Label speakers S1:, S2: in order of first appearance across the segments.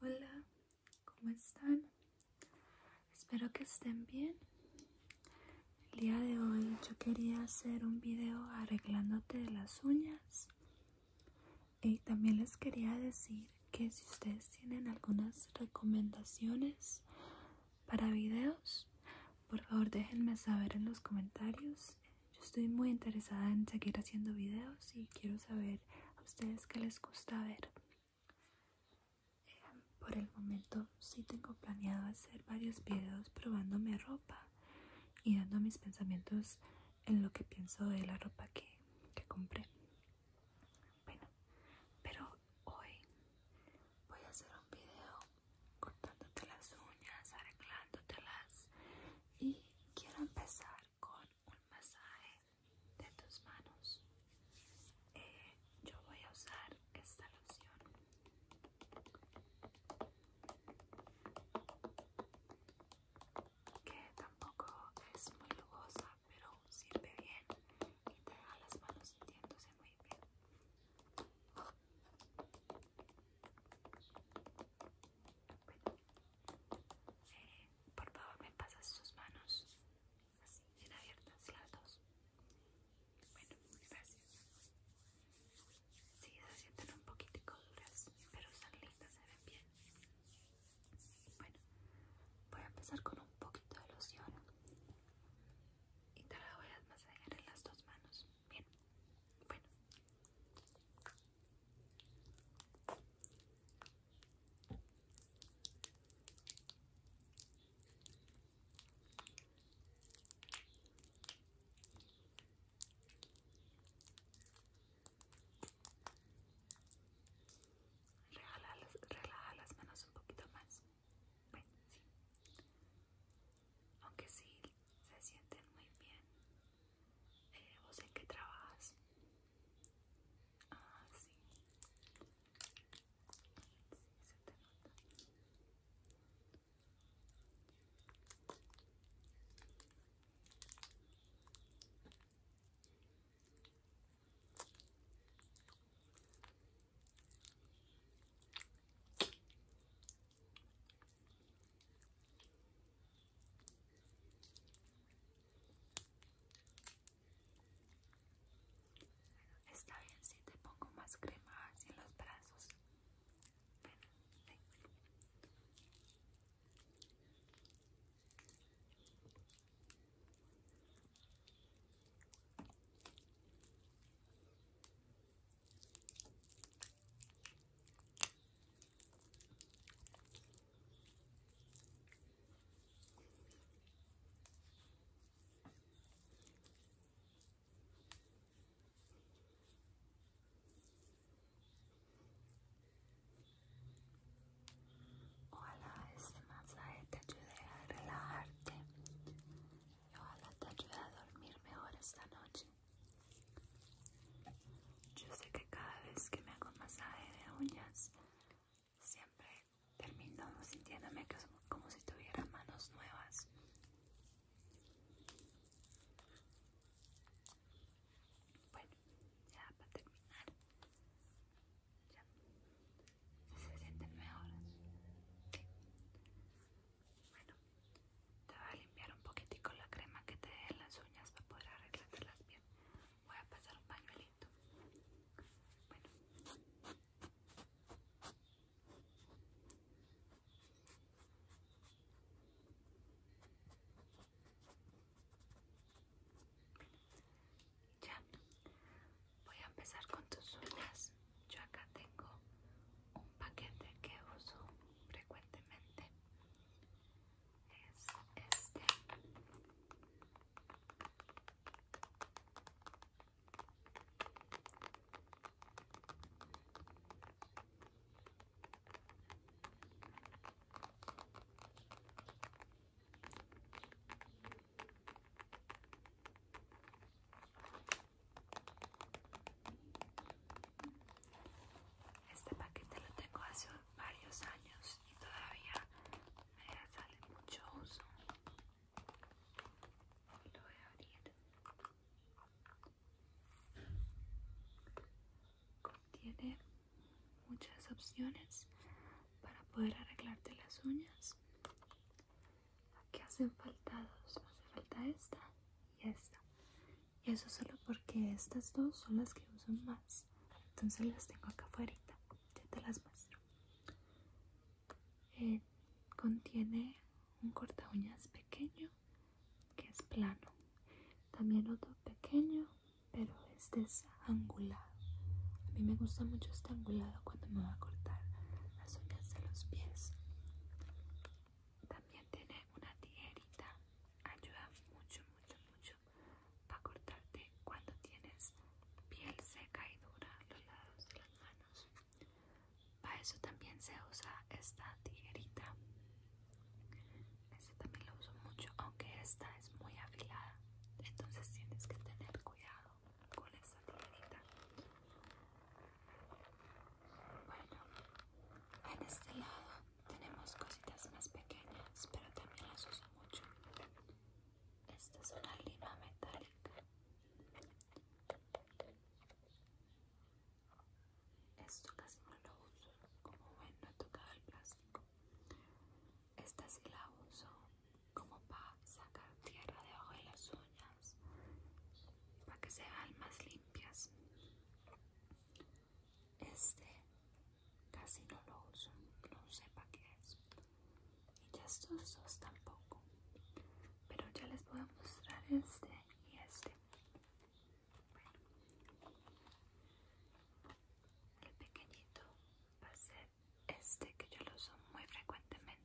S1: Hola, ¿cómo están? Espero que estén bien. El día de hoy yo quería hacer un video arreglándote las uñas. Y también les quería decir que si ustedes tienen algunas recomendaciones para videos, por favor déjenme saber en los comentarios. Yo estoy muy interesada en seguir haciendo videos y quiero saber a ustedes que les gusta ver. Em, por el momento sí tengo planeado hacer varios videos probándome ropa y dando mis pensamientos en lo que pienso de la ropa que, que compré. Bueno, pero hoy voy a hacer un video cortándote las uñas, arreglándotelas y quiero empezar con un masaje de tus manos. Eh, yo voy a usar esta loción. Que tampoco es muy lujosa, pero sirve bien y te haga las manos sintiéndose muy bien. Por favor, me pasas sus manos. Así, bien abiertas las dos. Bueno, gracias. Sí, se sienten un poquito duras, pero están lindas, se ven bien. Bueno, voy a empezar con un poquito de loción. Y te la voy a masajear en las dos manos. Bien. Bueno. Relaja las, manos un poquito más. sí. Aunque sí se sienten muy bien, eh, ¿Vos en qué trabajas? Ah, sí. Sí, se te nota. Está bien si te pongo más crema así en los brazos. Ojalá este masaje te ayude a relajarte. Hola, ojalá te ayude a dormir mejor esta noche. Yo sé que cada vez que me hago un masaje de uñas, siempre termino sintiéndome como si tuviera manos nuevas. Bueno, ya para terminar. Ya. se sienten mejor? Bueno, Te voy a limpiar un poquitico la crema que te dé en las uñas para poder arreglarlas bien. Voy a pasar un pañuelito. Bueno. Ya. Voy a empezar con tus uñas. Yo acá tengo un paquete que uso frecuentemente es este este paquete lo tengo hace varios años y todavía me sale mucho uso. Lo voy a abrir. Contiene muchas opciones para poder arreglarte las uñas. Aquí hacen falta dos, hace falta esta y esta. Y Eso solo porque estas dos son las que uso más. Entonces las tengo acá afuera. Ya te las muestro. Eh, contiene un corta uñas pequeño que es plano. También otro pequeño, pero este es angulado. A mí me gusta mucho este angulado cuando me va a cortar las uñas de los pies. También tiene una tijerita. Ayuda mucho, mucho, mucho para cortarte cuando tienes piel seca y dura los lados de las manos. Para eso también se usa esta tijerita. Este también lo uso mucho, aunque esta es muy afilada. Entonces tienes que tener cuidado con esta tijerita. Bueno, en este lado tenemos cositas más pequeñas, pero también las uso mucho. Esta es una lima metálica. Esto casi no lo uso, como ven no he tocado el plástico. Esta sí la uso como para sacar tierra debajo de las uñas para que se vean más limpias este casi no lo uso no sepa para qué es y estos dos tampoco pero ya les voy a mostrar este y este bueno, el pequeñito va a ser este que yo lo uso muy frecuentemente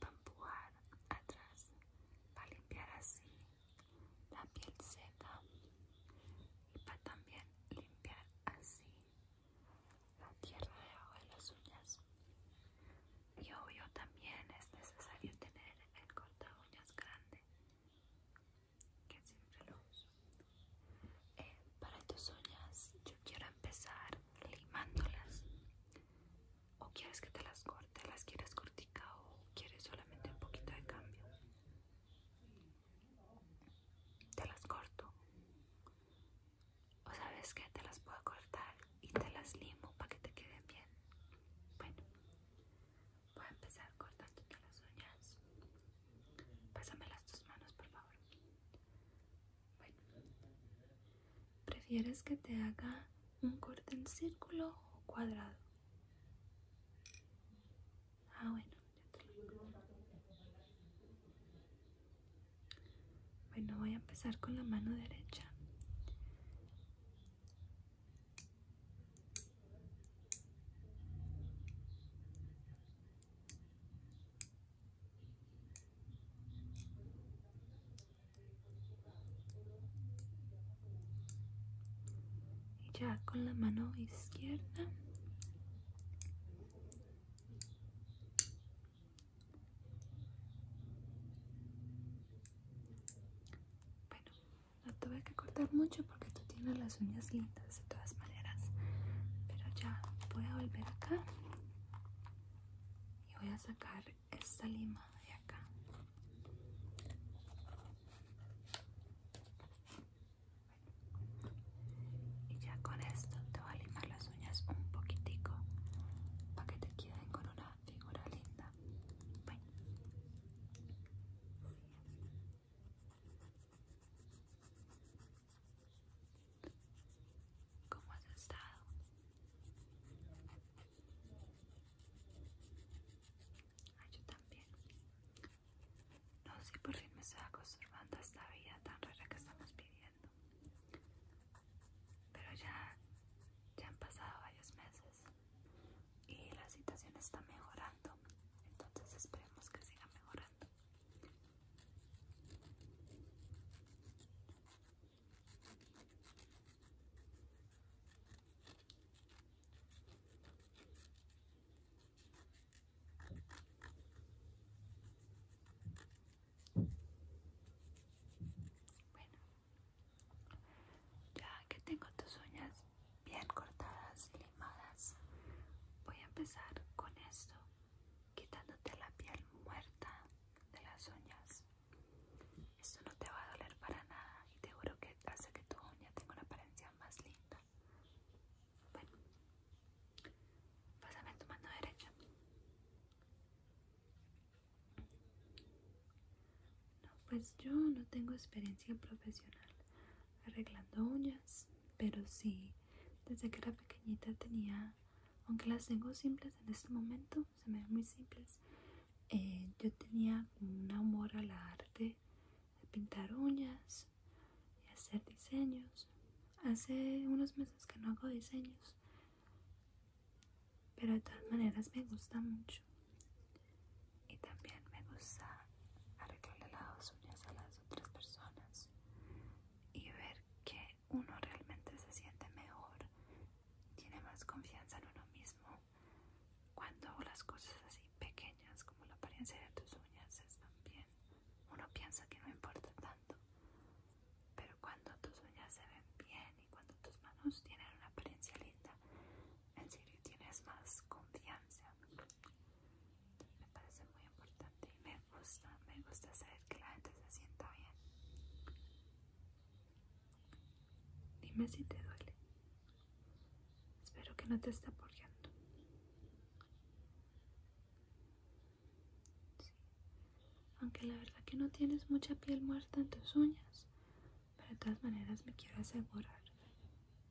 S1: para empujar atrás, para limpiar así la piel seca y para también limpiar así la tierra debajo de las uñas. Y obvio también es necesario tener el corta uñas grande, que siempre lo uso. Eh, para tus uñas yo quiero empezar limándolas o quieres que te las corte, las quieres cortica o quieres solamente un poquito de cambio. Te las corto. O sabes que te las puedo cortar y te las limo para que te queden bien. Bueno, voy a empezar cortándote las uñas. Pásame las dos manos, por favor. Bueno, ¿Prefieres que te haga un corte en círculo o cuadrado? Ah, bueno, Bueno, voy a empezar con la mano derecha. Y ya con la mano izquierda. Bueno, no tuve que cortar mucho porque tú tienes las uñas lindas de todas maneras. Pero ya voy a volver acá y voy a sacar esta lima de acá y ya con esto te voy a limar las uñas un poquitico para que te queden con una figura linda ¿Cómo has estado? yo también. No sé por qué me estoy acostumbrando a esta vida tan rara que estamos viviendo. Pero ya, ya han pasado varios meses y la situación está mejorando. Entonces esperemos que siga mejorando. Bueno, ya que tengo tus uñas bien cortadas y limadas, voy a empezar con esto, quitándote la piel muerta de las uñas. Esto no te va a doler para nada y te juro que hace que tu uña tenga una apariencia más linda. Bueno, pásame tu mano derecha. No, pues yo no tengo experiencia profesional arreglando uñas, pero sí, desde que era pequeñita tenía aunque las tengo simples en este momento, se me ven muy simples. Eh, yo tenía un amor a la arte de pintar uñas y hacer diseños. Hace unos meses que no hago diseños, pero de todas maneras me gusta mucho. Y también me gusta arreglarle las uñas a las otras personas y ver que uno realmente se siente mejor, tiene más confianza en uno mismo cuando las cosas así pequeñas como la apariencia de tus uñas están bien. Uno piensa que no importa tanto, pero cuando tus uñas se ven bien y cuando tus manos tienen una apariencia linda, en serio tienes más confianza. Me parece muy importante y me gusta, saber que la gente se sienta bien. Dime si te duele. Espero que no te esté poniendo Aunque la verdad que no tienes mucha piel muerta en tus uñas, pero de todas maneras me quiero asegurar.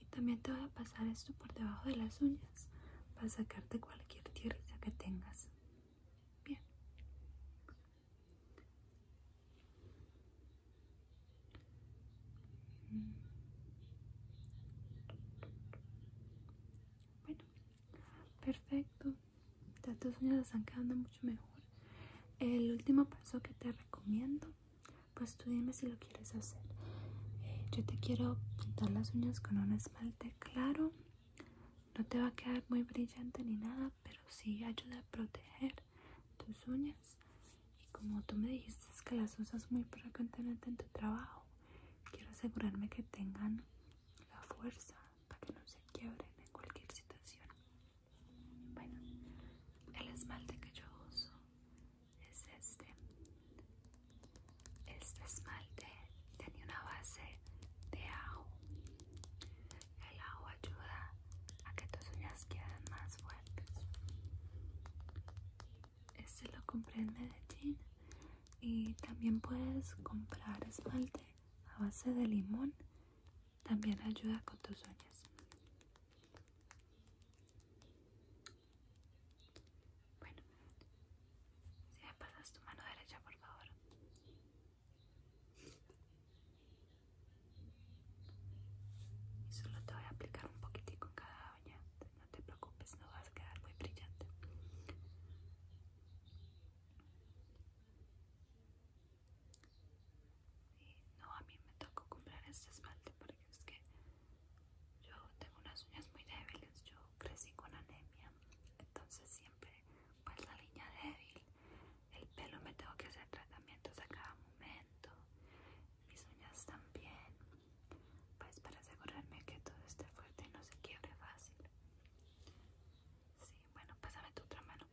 S1: Y también te voy a pasar esto por debajo de las uñas para sacarte cualquier tierra que tengas. Bien. Bueno, perfecto. Ya tus uñas están quedando mucho mejor. El último paso que te recomiendo, pues tú dime si lo quieres hacer. Eh, yo te quiero pintar las uñas con un esmalte claro no te va a quedar muy brillante ni nada, pero sí ayuda a proteger tus uñas. Y como tú me dijiste que las usas muy frecuentemente en tu trabajo, quiero asegurarme que tengan la fuerza para que no se quiebren en cualquier situación. Bueno, el esmalte que yo uso es este. Este esmalte tenía una base de ajo. El ajo ayuda a que tus uñas queden más fuertes. Este lo compré en Medellín y también puedes comprar esmalte a base de limón. También ayuda con tus uñas. Bueno, si me pasas tu mano derecha, por favor. Y solo te voy a aplicar un poquitico en cada uña. No te preocupes, no vas a quedar muy brillante. Y no, a mí me tocó comprar este esmalte porque es que yo tengo unas uñas muy débiles. Yo crecí con anemia, entonces siempre pues la línea débil, el pelo me tengo que hacer tratamientos a cada momento, mis uñas también, pues para asegurarme que todo esté fuerte y no se quiebre fácil. Sí, bueno, pásame tu otra mano.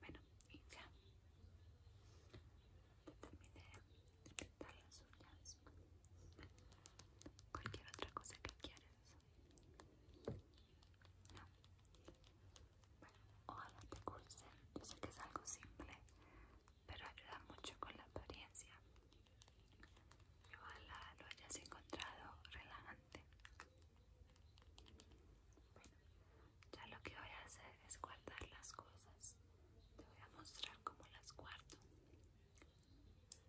S1: Bueno, y ya. Terminé de pintar las uñas. Cualquier otra cosa que quieras. No. Bueno, ojalá te guste. Yo sé que es algo simple, pero ayuda mucho con la apariencia. Ojalá lo hayas encontrado relajante. Bueno, ya lo que voy a hacer es guardar las cosas. Te voy a mostrar cómo las guardo. Este,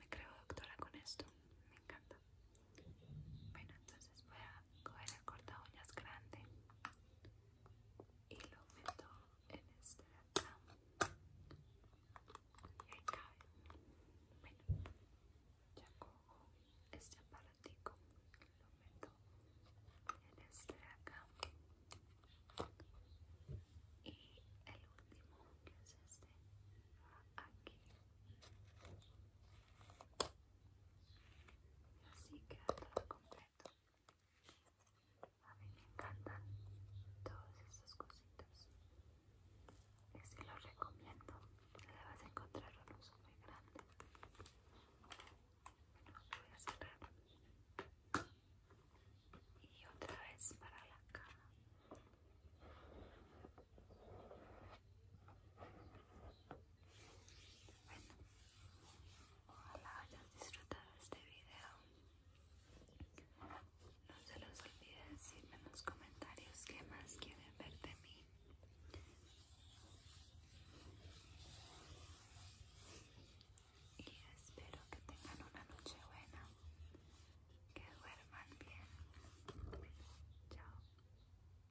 S1: me creo doctora con esto. Me encanta. Bueno, entonces voy a coger el corta uñas grande y lo meto en este de acá y ahí cabe bueno ya cojo este aparatico lo meto en este de acá y el último que es este va aquí y Así queda todo completo. A mí me encantan todas estas cositas. si lo recomiendo. Le vas a encontrar un uso muy grande. Bueno, voy a cerrar. Y otra vez para la cara bueno Ojalá hayas disfrutado este video. No se los olvide decirme en los comentarios qué más quieren ver de mí. Y espero que tengan una noche buena. Que duerman bien. Chao.